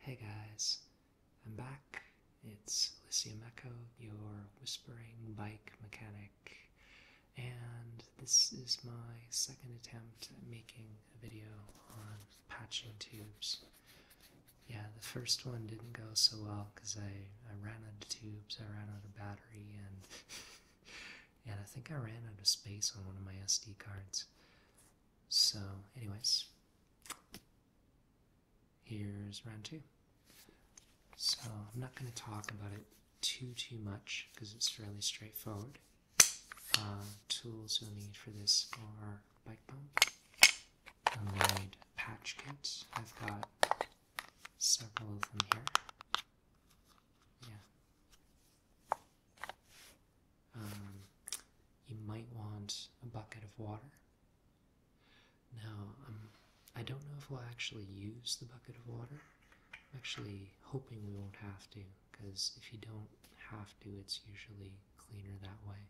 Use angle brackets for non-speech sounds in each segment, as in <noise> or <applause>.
Hey guys, I'm back it's Alicia Echo, your whispering bike mechanic, and this is my second attempt at making a video on patching tubes. Yeah, the first one didn't go so well because I, I ran out of tubes, I ran out of battery, and <laughs> and I think I ran out of space on one of my SD cards. So, anyways, Here's round two. So I'm not going to talk about it too, too much because it's fairly straightforward. Uh, tools you'll need for this are bike pump. I'll need patch kits. I've got several of them here. Yeah. Um, you might want a bucket of water now, um, I don't know if we'll actually use the bucket of water. I'm actually hoping we won't have to, because if you don't have to, it's usually cleaner that way.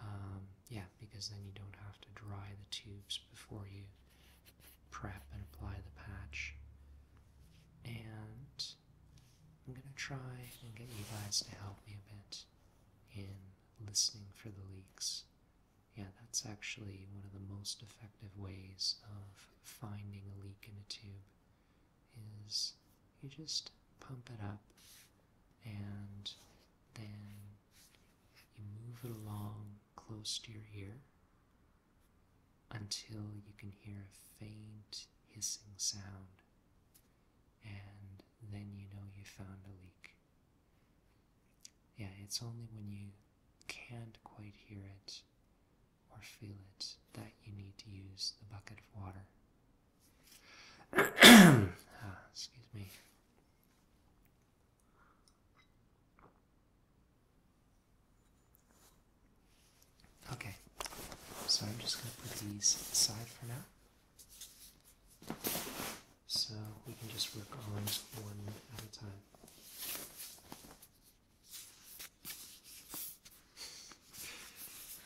Um, yeah, because then you don't have to dry the tubes before you prep and apply the patch. And I'm going to try and get you guys to help me a bit in listening for the leaks yeah, that's actually one of the most effective ways of finding a leak in a tube is you just pump it up and then you move it along close to your ear until you can hear a faint hissing sound and then you know you found a leak. Yeah, it's only when you can't quite hear it or feel it that you need to use the bucket of water. <coughs> Ah, excuse me. Okay, so I'm just going to put these aside for now. So we can just work on one at a time.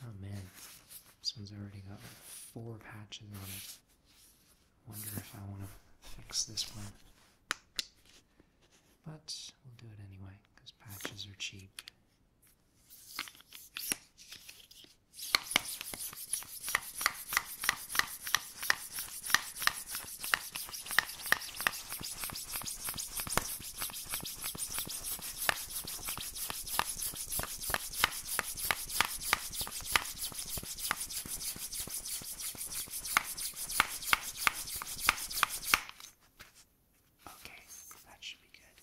Oh man, this one's already got like four patches on it. Wonder if I want to fix this one. But we'll do it anyway, because patches are cheap. Okay, that should be good.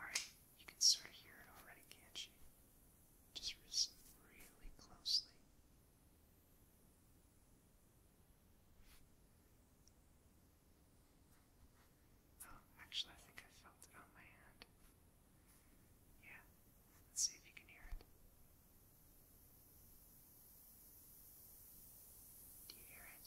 Alright, you can sort of hear it already, can't you? Just listen really closely. Oh, actually, I think I felt it on my hand. Yeah, let's see if you can hear it. Do you hear it?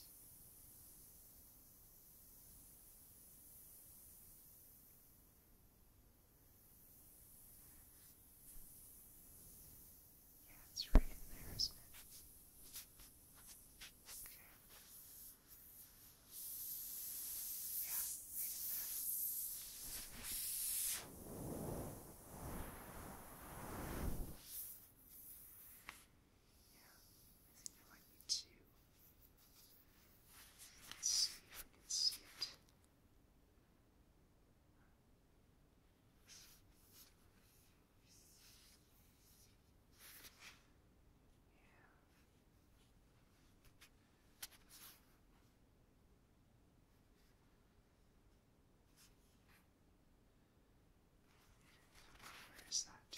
Yeah, it's right in there, isn't it? Okay. Yeah, Yeah, I think there might be two. Let's see if we can see it. Yeah. Where is that?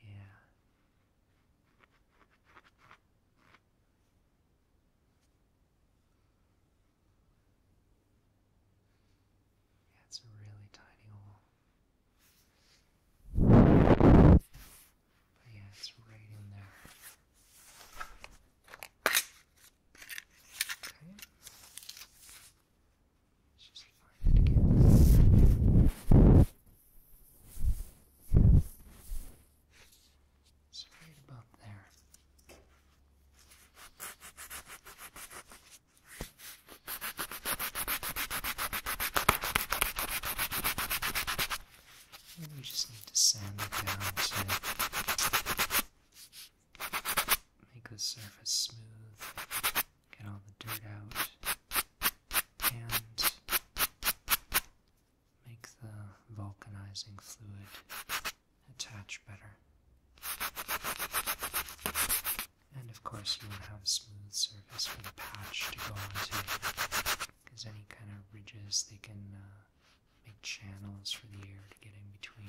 Yeah. Yeah, it's a really tiny hole yeah, it's right in there. Let's just find it again. It's right about there we just need to sand it down to make the surface smooth, get all the dirt out, and make the vulcanizing fluid attach better. And of course, you want to have a smooth surface for the patch to go onto because any kind of ridges, they can uh, make channels for the air to get in between.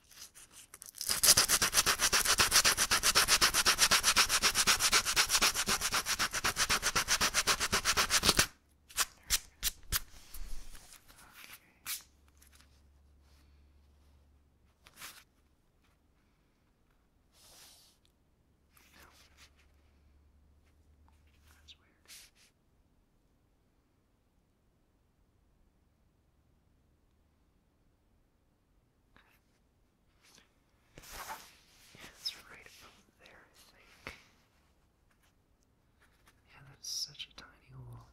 That's weird it's right above there, I think. Yeah, that's such a tiny hole.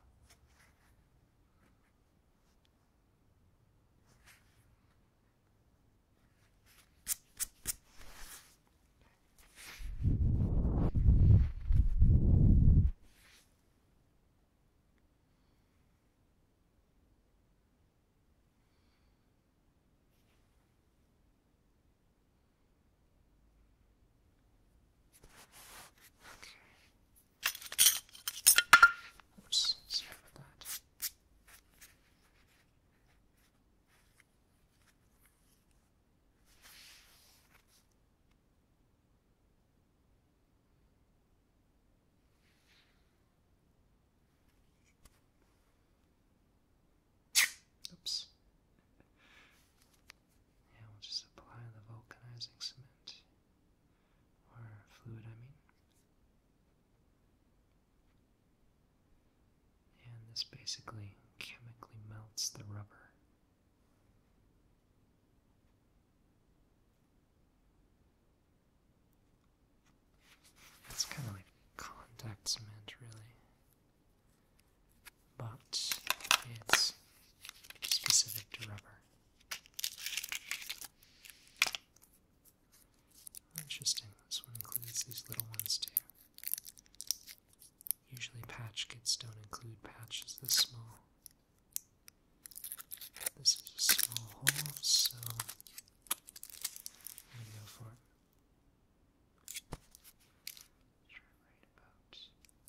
Oops, sorry about that. Oops. Yeah, we'll just apply the vulcanizing cement. Or fluid, I mean. And this basically chemically melts the rubber. It's kind of like contact cement, really. But it's specific to rubber. Interesting, this one includes these little ones too. Usually patch kits don't include patches this small. This is a small hole, so i go for it. right about there. Yeah.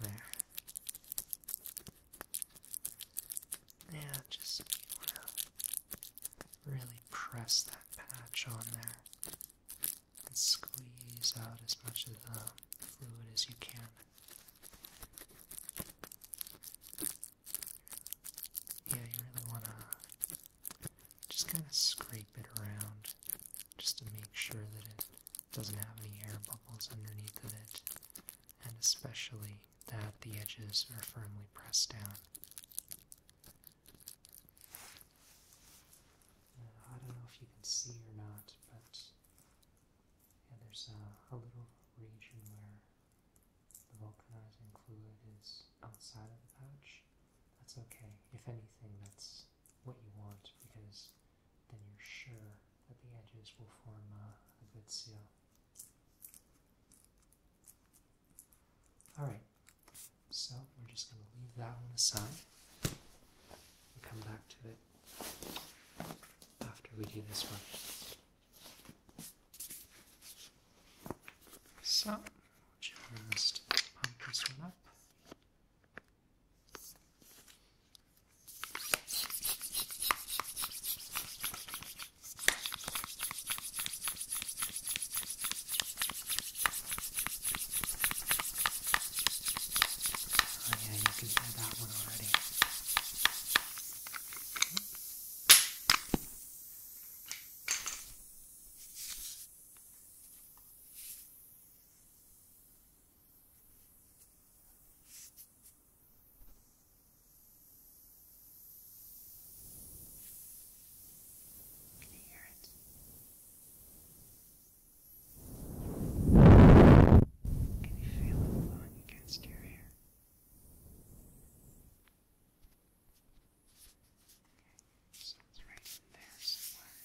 There. Yeah, just really press that patch on there and squeeze out as much of the fluid as you can. Yeah, you really want to just kind of scrape it around just to make sure that it doesn't have any air bubbles underneath of it, and especially that the edges are firmly pressed down. Uh, I don't know if you can see or not, but yeah, there's a, a little region where the vulcanizing fluid is outside of the pouch. That's okay. If anything, that's what you want because then you're sure that the edges will form a good seal. Alright, so we're just going to leave that one aside and come back to it after we do this one. So, just pump this one up. Oh yeah, you can hear that one already. Okay. Can you hear it? Can you feel it blowing against your hair? Okay, so it's right in there somewhere.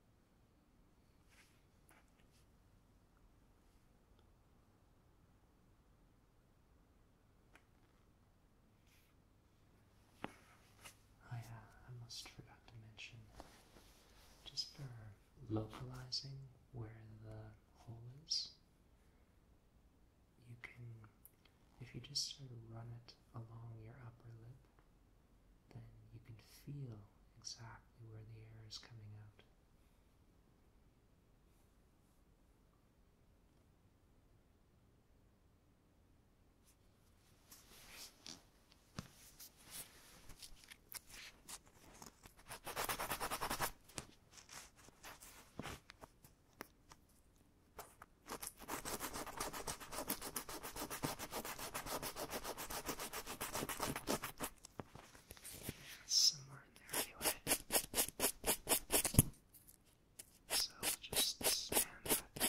Oh I almost forgot to mention, just for localizing where the hole is, you can, if you just sort of run it along your upper lip, then you can feel exactly where the air is coming out. Somewhere in there anyway. So we'll just span that down.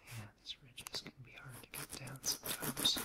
Yeah, these ridges can be hard to get down sometimes.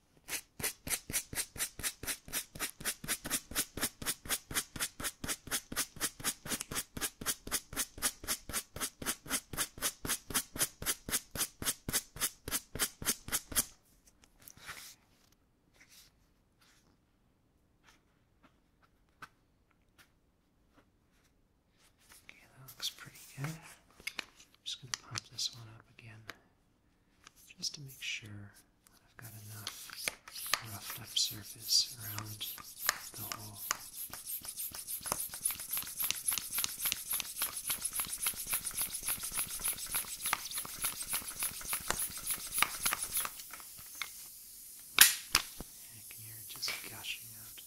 Okay, that looks pretty good. I'm just going to pump this one up again just to make sure that I've got enough roughed up surface around the hole. And just gushing out.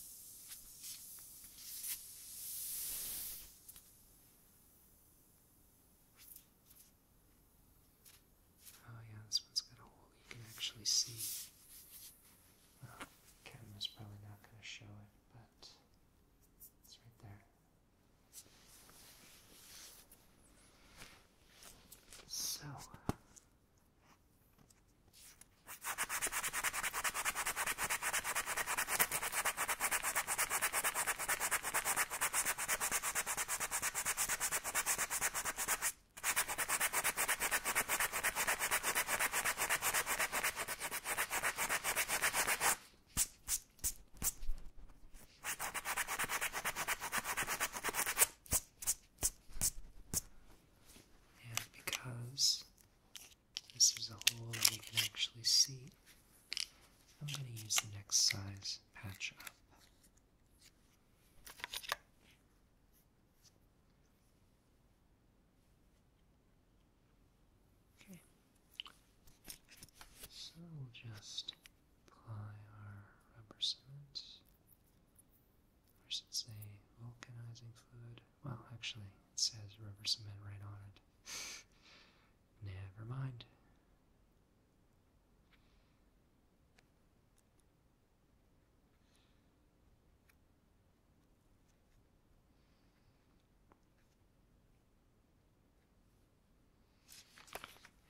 Oh yeah, this one's got a hole you can actually see. camera's probably not going to show it, but it's right there. So. And because this is a hole that we can actually see, I'm going to use the next size patch up. Okay. So we'll just apply our rubber cement. Or should say vulcanizing fluid. Well, actually, it says rubber cement right on it. <laughs> Never mind.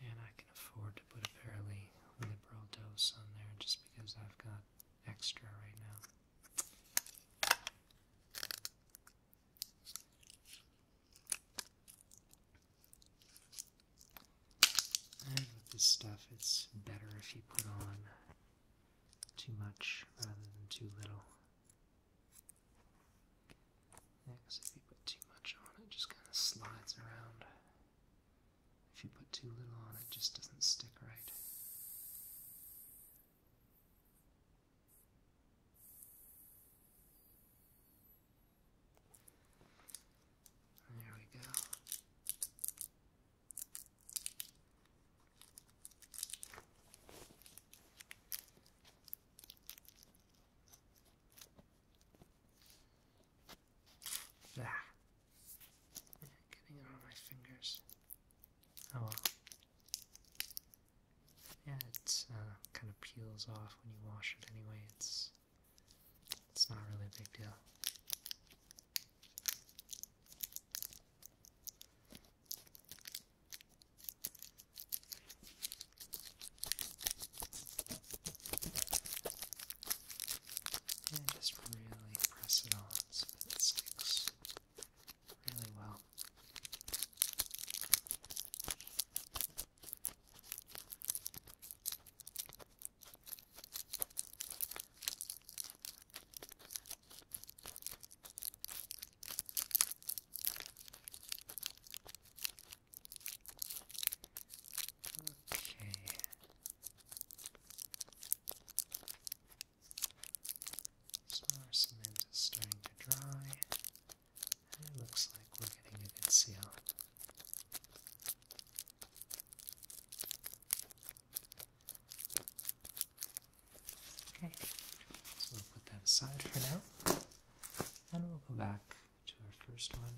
And I can afford to put a fairly liberal dose on there just because I've got extra right now with this stuff, it's better if you put on too much rather than too little. because if you put too much on, it just kind of slides around. If you put too little on, it just doesn't stick right. There we go. Ah. Getting it on my fingers. Oh yeah, it uh, kind of peels off when you wash it anyway. It's it's not really a big deal. And just really press it on so that it sticks really well. Okay. So our cement is starting to dry it looks like we're getting a good seal. Okay, so we'll put that aside for now. And we'll go back to our first one,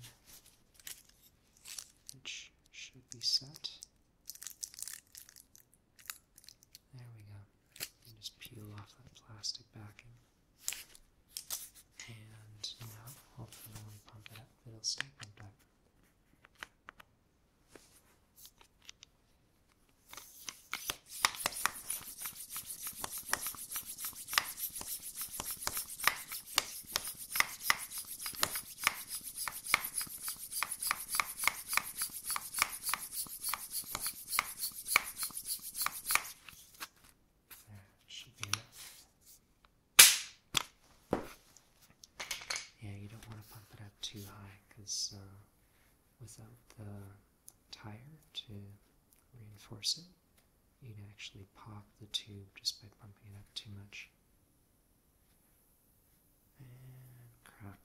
which should be set. There we go. just peel off that plastic backing. And now, hopefully when we pump it up, it'll stay pumped up. Yeah, you don't want to pump it up too high because uh, without the tire to reinforce it, you'd actually pop the tube just by pumping it up too much. And crap.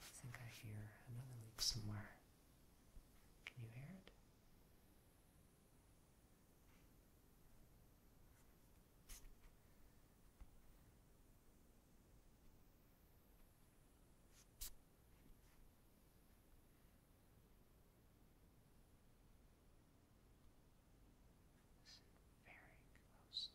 I think I hear another leak somewhere. Can you hear it? Listen very closely.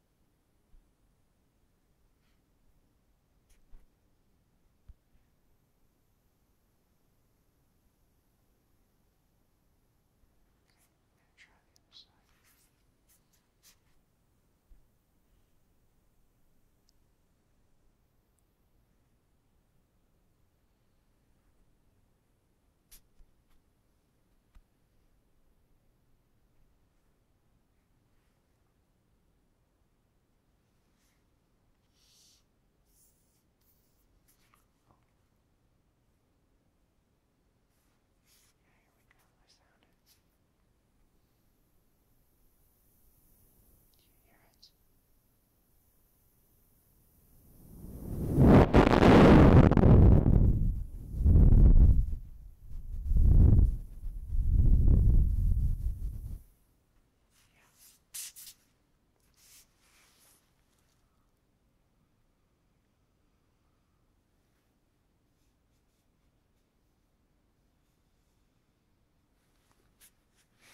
and try the other side. Okay. Yeah, here we go. I sound it. Do you hear it?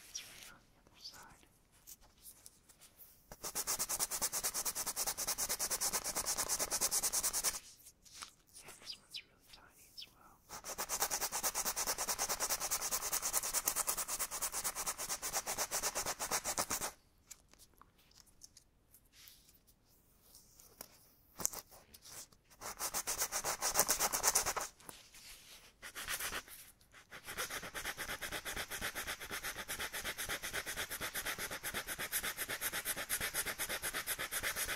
It's right on the other side. And this one's really tiny as well.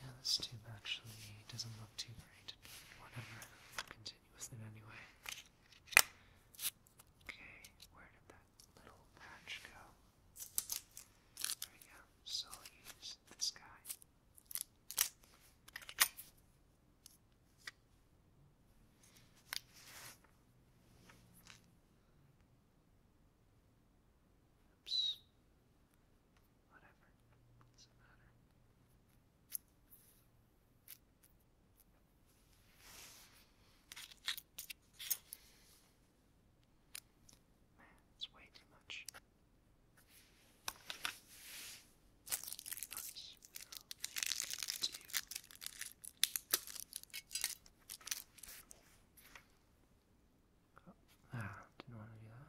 Yeah, this tube actually doesn't look too great, whatever. I'll continue with anyway. Okay, where did that little patch go? There we go. So use this guy. Oops. Whatever. Doesn't matter. Man, it's way too much. Which we will do. Oh, ah, didn't want to do that.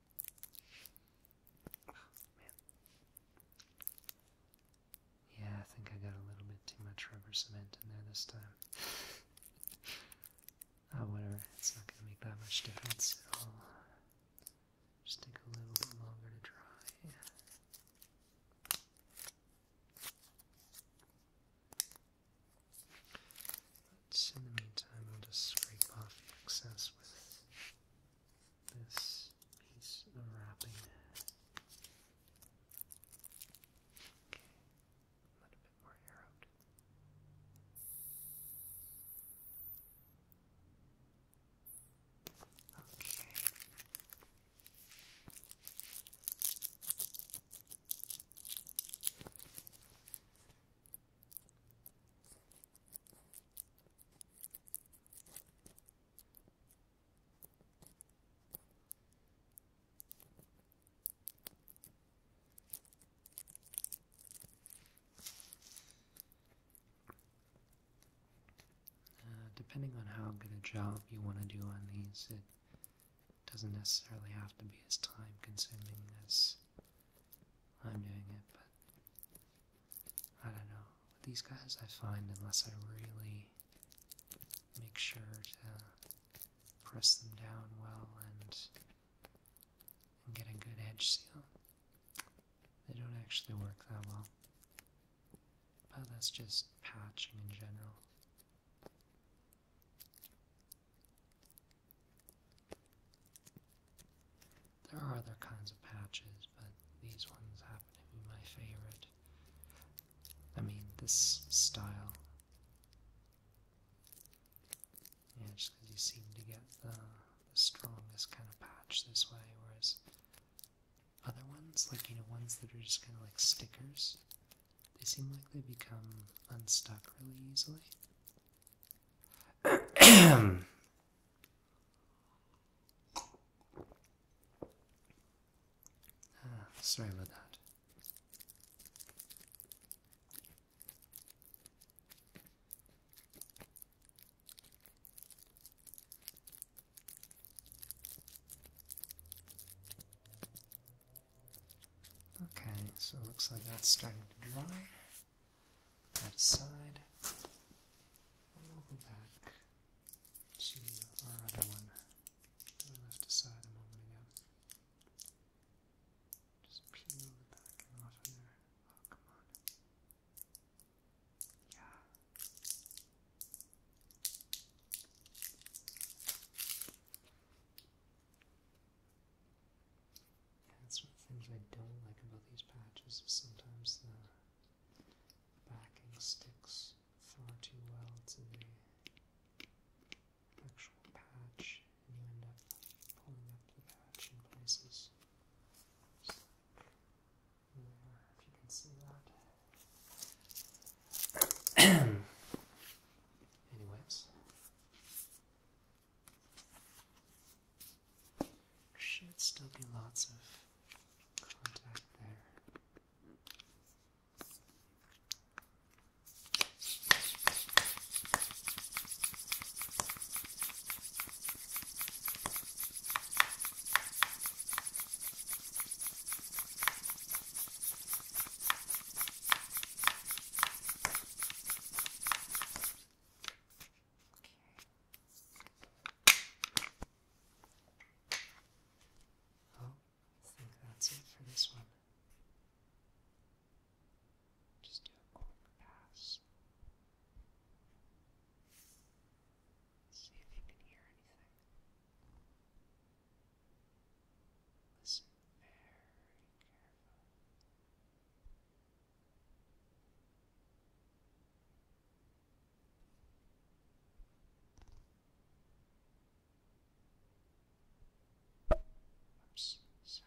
Yeah, I think I got a little bit too much rubber cement in there this time. oh, whatever. It's not going to make that much difference at all. Just take a little bit longer to dry. But in the meantime, I'll just scrape off the excess with this piece of wrapping. Okay, let a bit more air out. Okay. Uh, depending on how good a job you want to do on these, it doesn't necessarily have to be as time consuming as I'm doing it, but I don't know. these guys, I find unless I really make sure to press them down well and, and get a good edge seal, they don't actually work that well. But that's just patching in general. There are other kinds of patches, but these ones happen to be my favorite. I mean, this style. Yeah, just because you seem to get the, strongest kind of patch this way, whereas other ones, like, you know, ones that are just kind of like stickers, they seem like they become unstuck really easily. <clears throat> <coughs> Ah, sorry about that. Okay, so it looks like that's starting to dry that side. And we'll go back to our other one that we left aside a moment ago. Just peel the back off of there. Oh, come on. Yeah. Yeah, that's one of the things I don't like about these patches sometimes the backing sticks far too well to the actual patch, and you end up pulling up the patch in places. there, if you can see that. <coughs> Anyways, should still be lots of contact there. Well, oh, I think that's it for this one. Just do a quick pass. See if you can hear anything. Listen very carefully. Oops, sorry.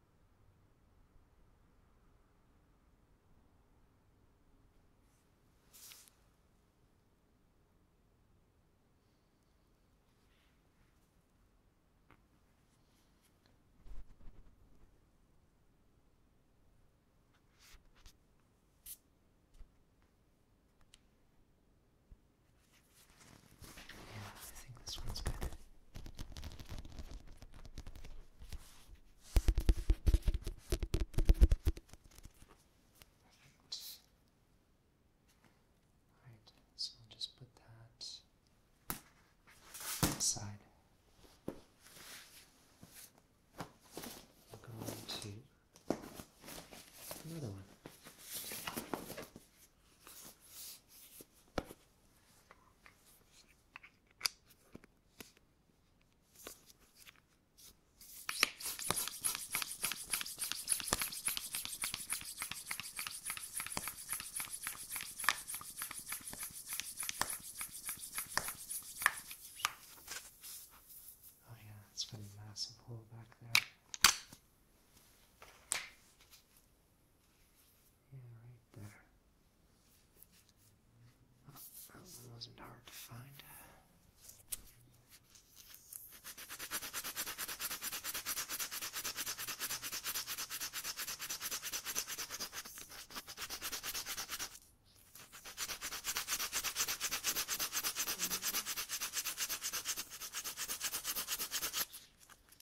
Yeah, I think this one's good. Perfect. Alright, so I'll just put that aside. We'll go to another one. Oh, yeah, it's got a massive hole back there. Yeah, right there. Oh, that one wasn't hard to find.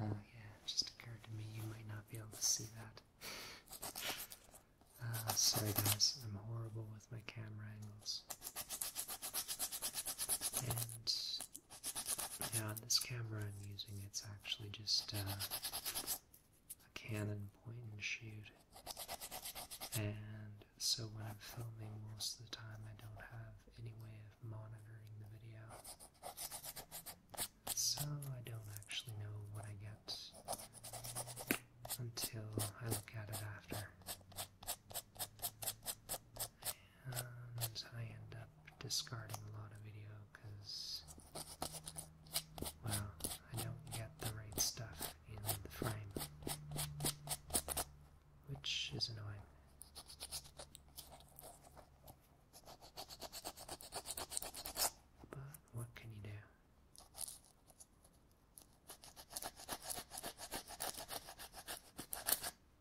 Oh, yeah, just occurred to me you might not be able to see that. Uh, sorry, guys, I'm horrible with my camera angles. And yeah, this camera I'm using, it's actually just uh, a Canon point and shoot. And so when I'm filming, most of the time I don't have any way of monitoring the video. So I don't actually know what I get until I look at it after. Um, I end up discarding a lot of video because, well, I don't get the right stuff in the frame, which is annoying. But what can you do?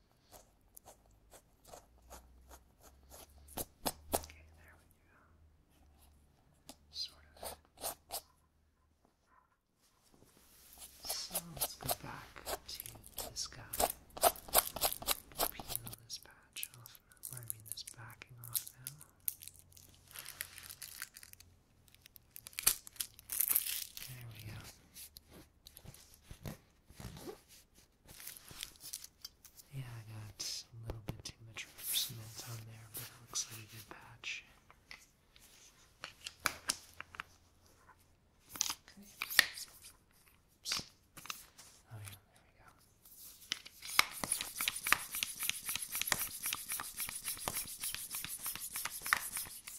Okay, there we go. Sort of. So let's go back to this guy. Peel this patch off now. this backing off now. There we go. Yeah, I got a little bit too much cement on there, but it looks like a good patch. Oh yeah, there we go.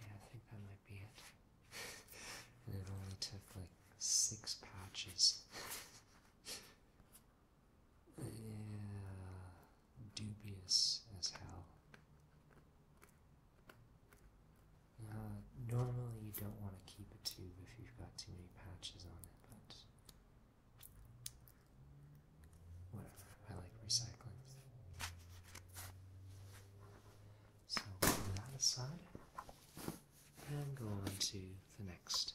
Yeah, I think that might be it. and it only took like six patches. yeah, dubious as hell. Uh, normally you don't want to keep a tube if you've got too many patches on it, but whatever, I like recycling. So, put that aside and go on to the next.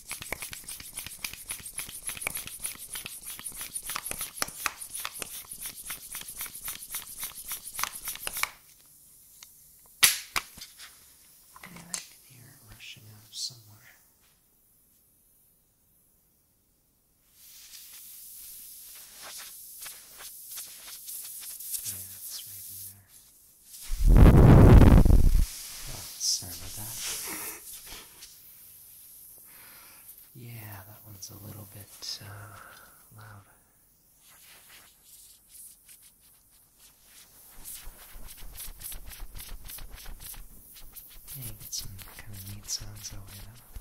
And I can hear it rushing out somewhere. Yeah, it's right in there. Oh, sorry about that. Yeah, that one's a little bit uh, loud. you get some kind of neat sounds that way, though.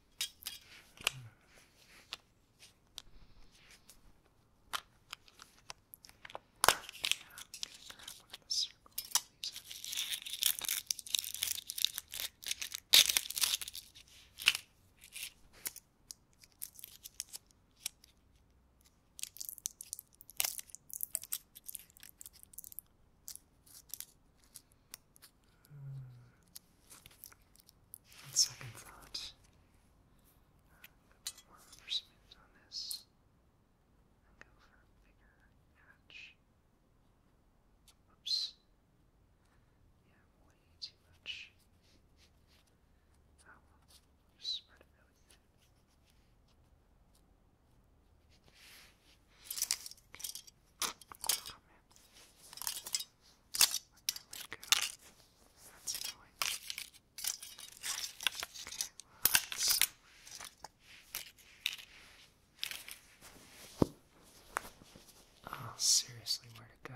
Yeah, I'm gonna grab one of the circle Lisa. On mm. second thought, put more rubber on this and go for a bigger hatch. Oops. Yeah, way too much. Oh well, just spread it really thin. Oh, seriously, where to go?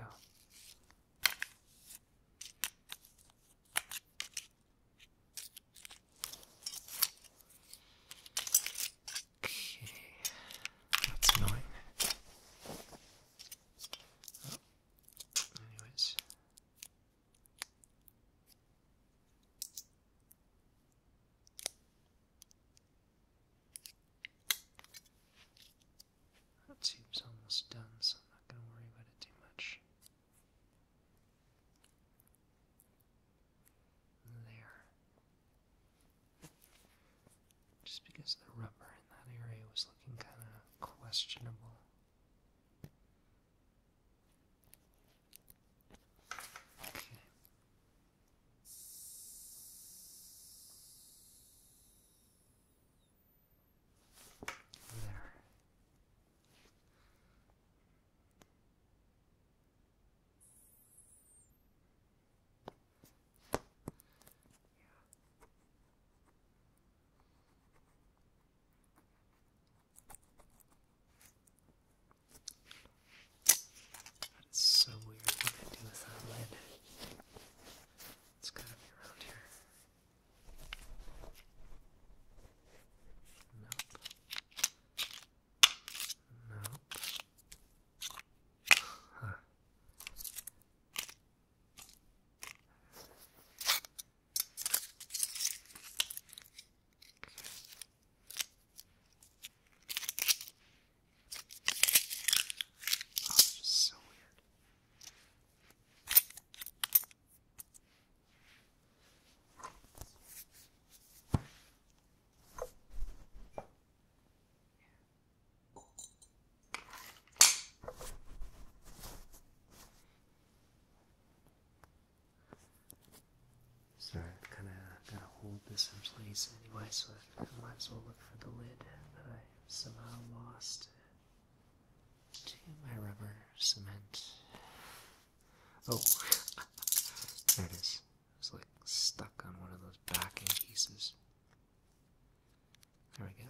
Okay, that's annoying. Anyways. That tube's almost done, so I'm not going to worry about it too much. There. Just because the rubber in that area was looking kind of questionable. Okay. There. That is so weird what they do with lid. It's gotta be around here. Nope. Nope. Huh. Oh, just so weird. So I've kind of got to hold this in place anyway, so I might as well look for the lid that I somehow lost to my rubber cement. Oh, <laughs> there it is. It's like stuck on one of those backing pieces. There we go.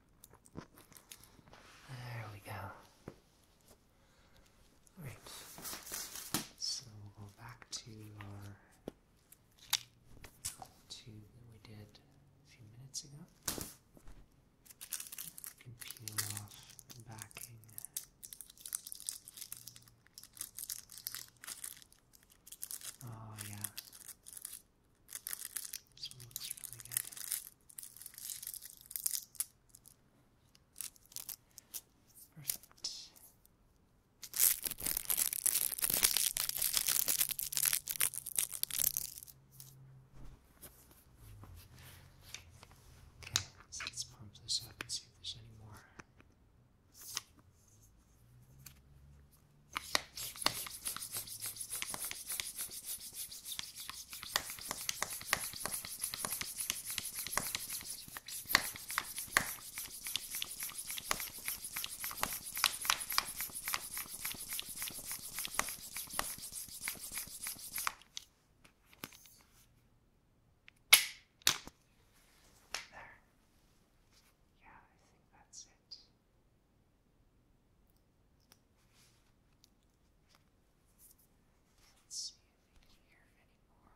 There we go. Alright. So we'll go back to our tube that we did a few minutes ago. peel off backing. Oh yeah. This one looks really good. Perfect. Okay, let's pump this up and see if there's any more. There. Yeah, I think that's it. Let's see if we can hear anymore.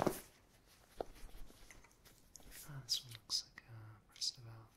Oh, this one looks like a burst valve.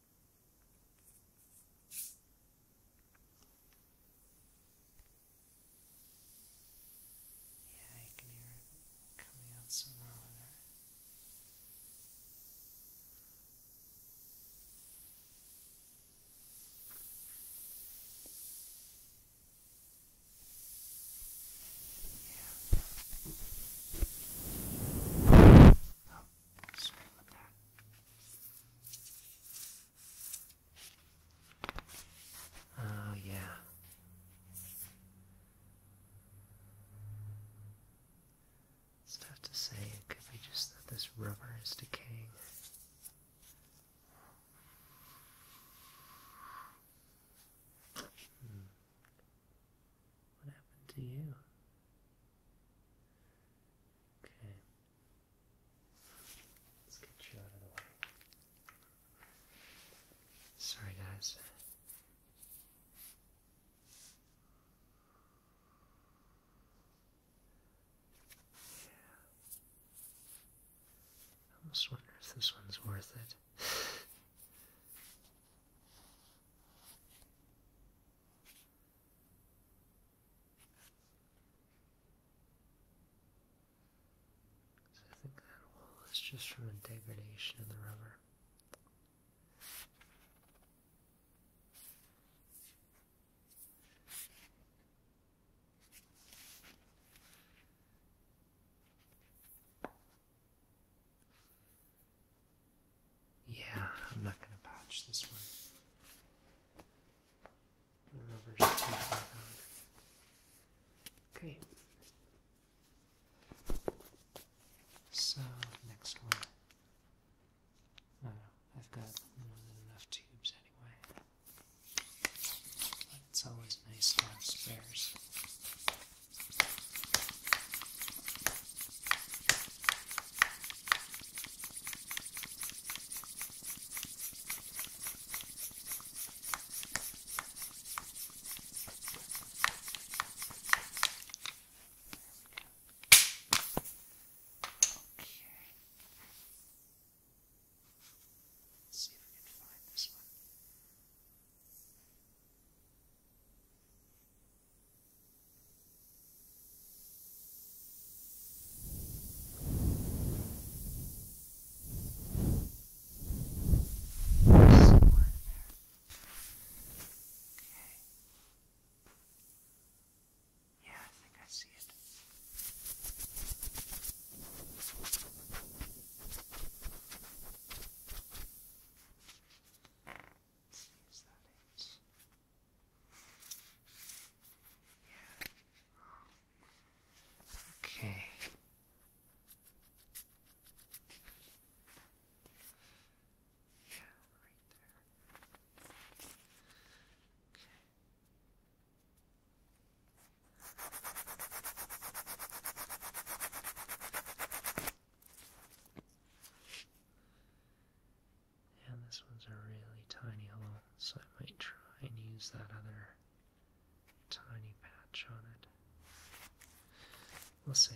Yeah, you can hear it coming out somewhere over there. Yeah. Oh Sorry Oh, yeah. It's tough to say. It could be just that this rubber is decaying. Hmm. What happened to you? Okay. Sorry, guys. Yeah. I almost wonder if this one's worth it. So I think that wall is just from a degradation of the rubber. Yeah, I'm not going to patch this one. Okay. So next one. Oh, I've got more than enough tubes anyway. it's always nice to have spares. Okay. Let's see if we can find this one. Some more in there. Okay. Yeah, I think I see it. Let's see, is that it? Okay. Yeah, right there. Okay. And this one's a really tiny hole, so I might try and use that other tiny patch on it. We'll see.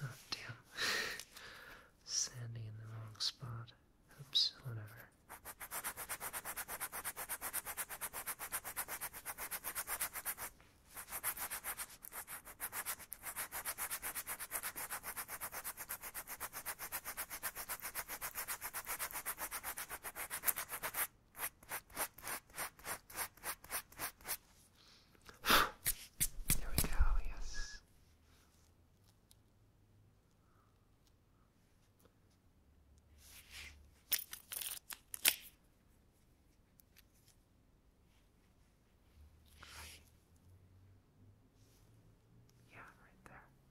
Oh damn. Standing in the wrong spot. Oops, whatever. Here we go, yes. Right. Yeah, right there.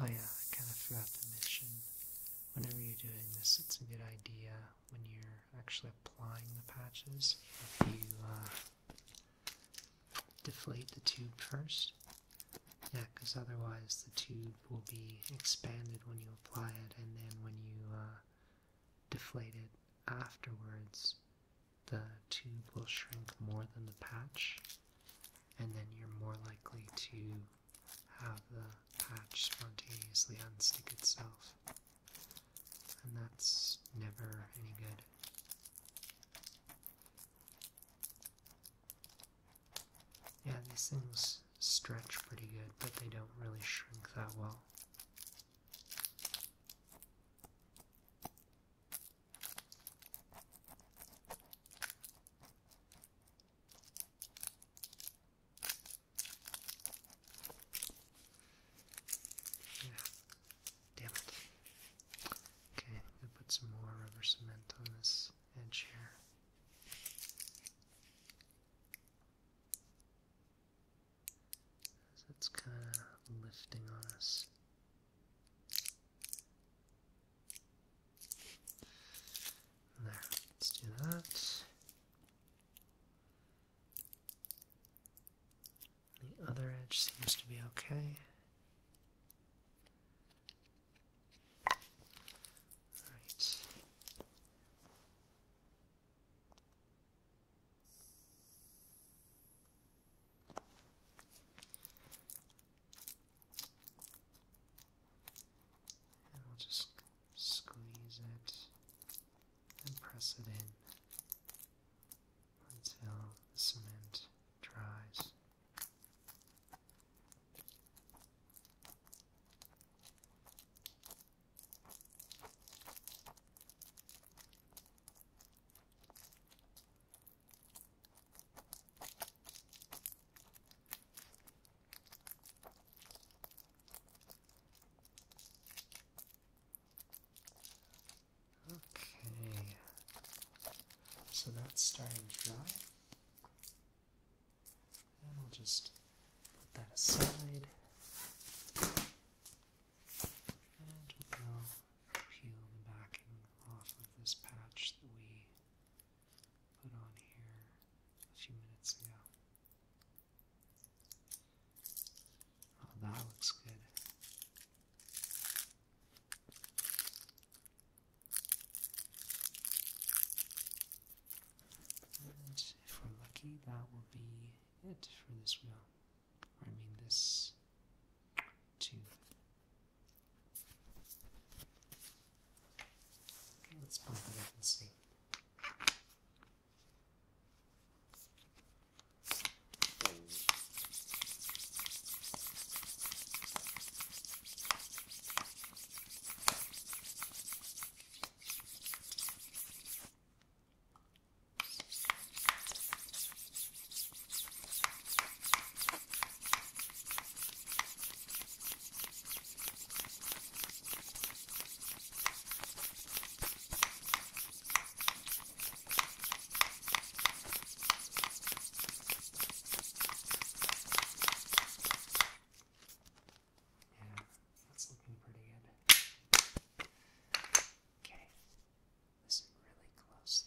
Oh yeah, I kind of forgot to mention whenever you're doing this, it's a good idea when you're actually applying the patches if you uh, deflate the tube first. Yeah, because otherwise the tube will be expanded when you apply it, and then when you uh, deflate it afterwards, the tube will shrink more than the patch, and then you're more likely to have the patch spontaneously unstick itself. And that's never any good. Yeah, these things stretch pretty good, but they don't really shrink that well. Damn it. Okay, I'm gonna put some more rubber cement on this edge here. it's kind of lifting on us. There, let's do that. The other edge seems to be okay. Right. And I'll just squeeze it and press it in until the cement dries. Okay, so that's starting dry. we'll just put that aside. And we'll peel the backing off of this patch that we put on here a few minutes ago. Oh, that looks good. And if we're lucky, that will be it for this wheel. I mean this tooth. Let's pump it up and see. Yeah, that's looking pretty good. Okay, listen really closely.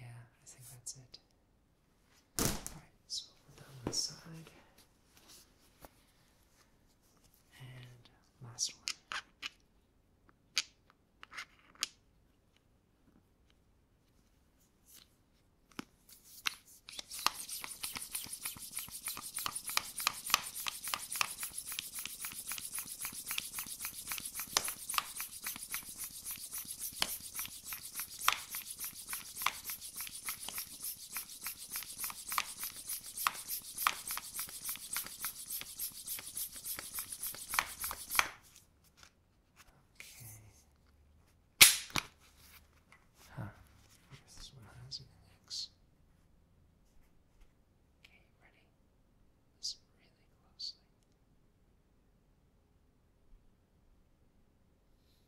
Yeah, I think that's it. Alright, so we'll put that one aside. And last one. Okay. Huh. I guess this one has an X. Okay, ready? Listen really closely.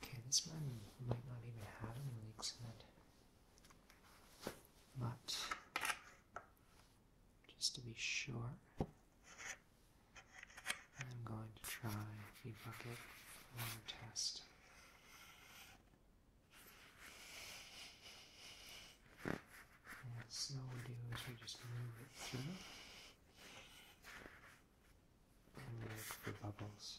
Okay, this man might not even have any leaks in it. But just to be sure. I'm going to try the bucket water test. And so what we do is we just move it through and look for bubbles.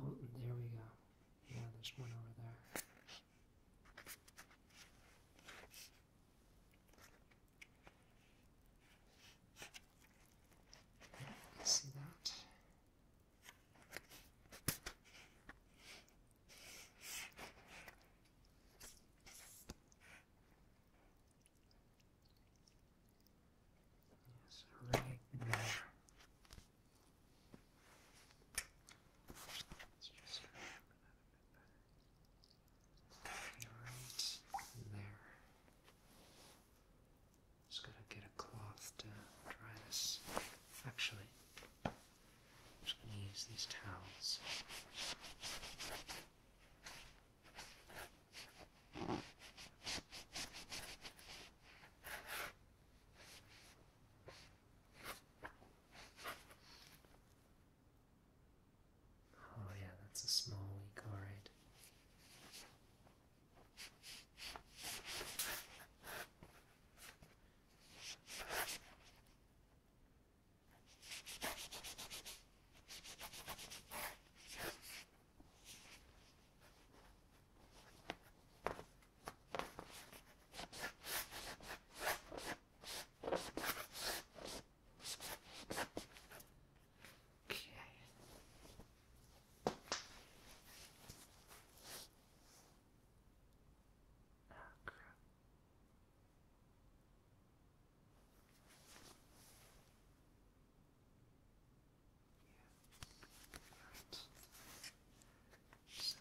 Oh, there we go. Yeah, there's one over there. See that? Yes, right there. Let's just that. Right there. Just gotta get a cloth to dry this. Actually, I'm just gonna use these towels. Oh yeah, that's a small leak, alright. Okay. Oh, crap. Yeah. Right. So.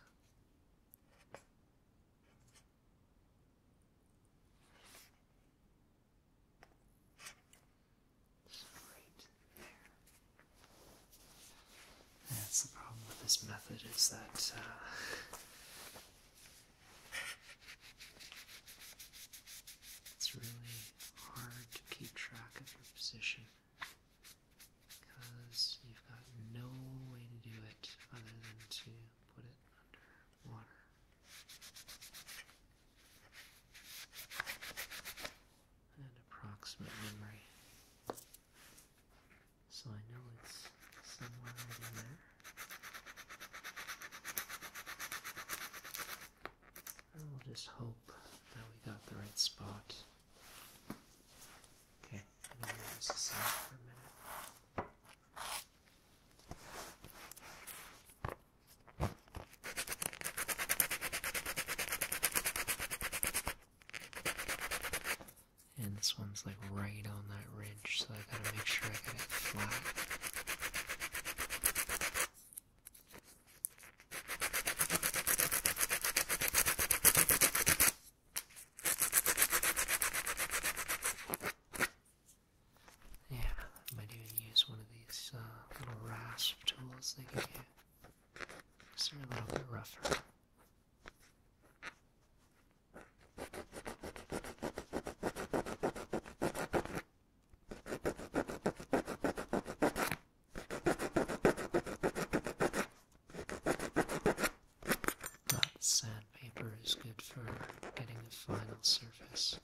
That's the problem with this method is that uh, it's really hard to keep track of your position because you've got no way to do it other than to put it under water. An approximate memory. So I know it's somewhere in there. I will just hope that we got the right spot. Okay, I'm going to this for a minute. And this one's like right on that ridge, so I gotta make sure I get it flat. Yeah, might even use one of these uh, little rasp tools they give you. Because a little bit rougher. But sandpaper is good for getting the final surface.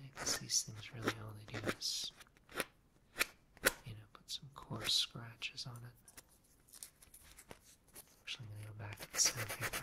Because these things really all they do is, you know, put some coarse scratches on it. Actually, I'm gonna go back to the sandpaper.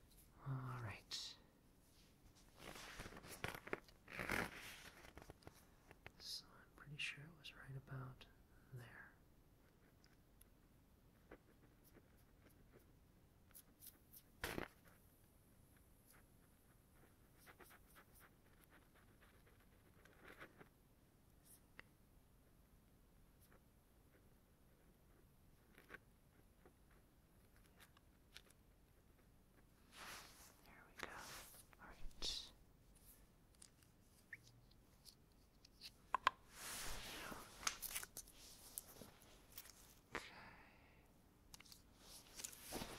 All right. So I'm pretty sure it was right about there. There we go. All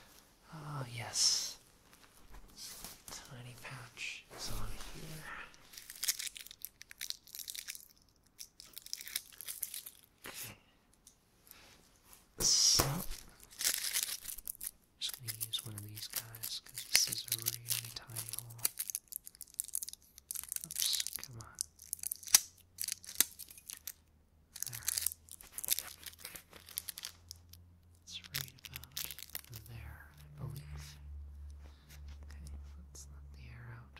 right. Okay. Oh, yes. Tiny patch is on here. So, i just going to use one of these guys because this is a really tiny hole. Oops, come on. There. It's right about there, I believe. Okay, let's let the air out.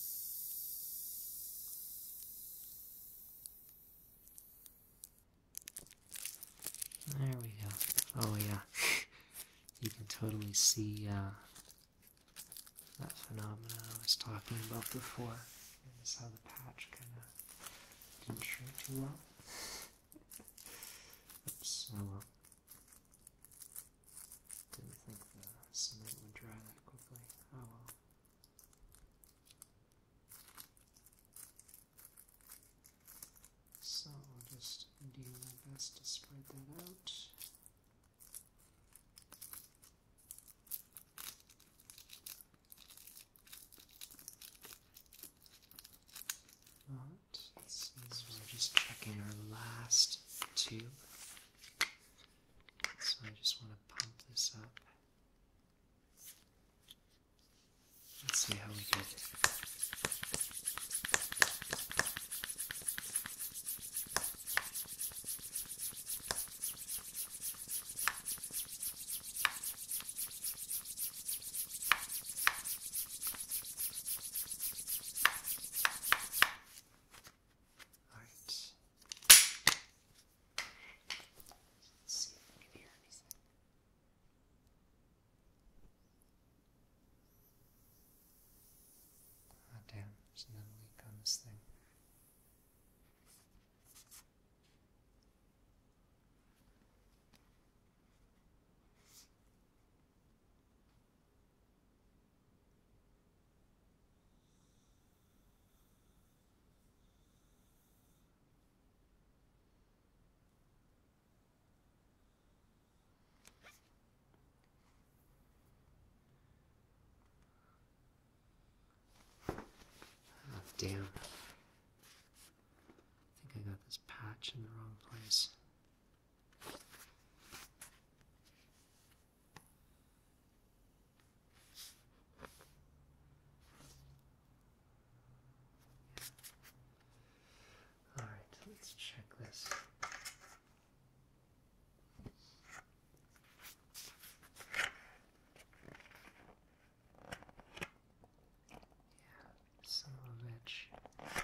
There we go. Oh yeah, <laughs> you can totally see uh, that phenomenon I was talking about before. Notice how the patch kind of didn't shrink too well. <laughs> Oops, oh well. Didn't think the cement would dry that quickly. Oh well. So I'll just do my best to spread that out. But this we're just checking our last tube so I just want to pump this up. Let's see how we get it. Alright. let ah, damn, there's no leak on this thing. Oh, damn. I think I got this patch in the wrong place. All right, let's check this. Yeah, some of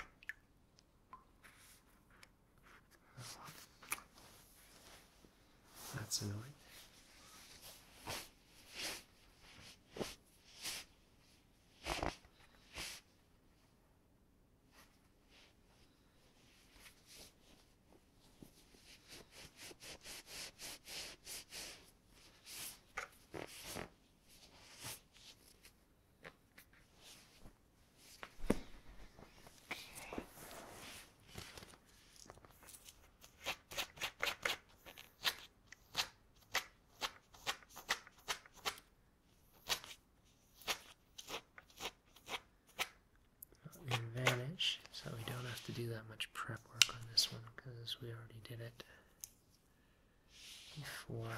that's annoying. Okay. so we don't have to do that much prep work on this one because we already did it before.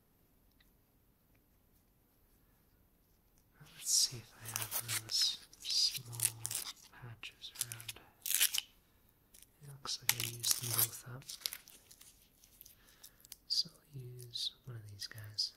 Let's see if I have those small patches around. It looks like I used them both up. So I'll use one of these guys.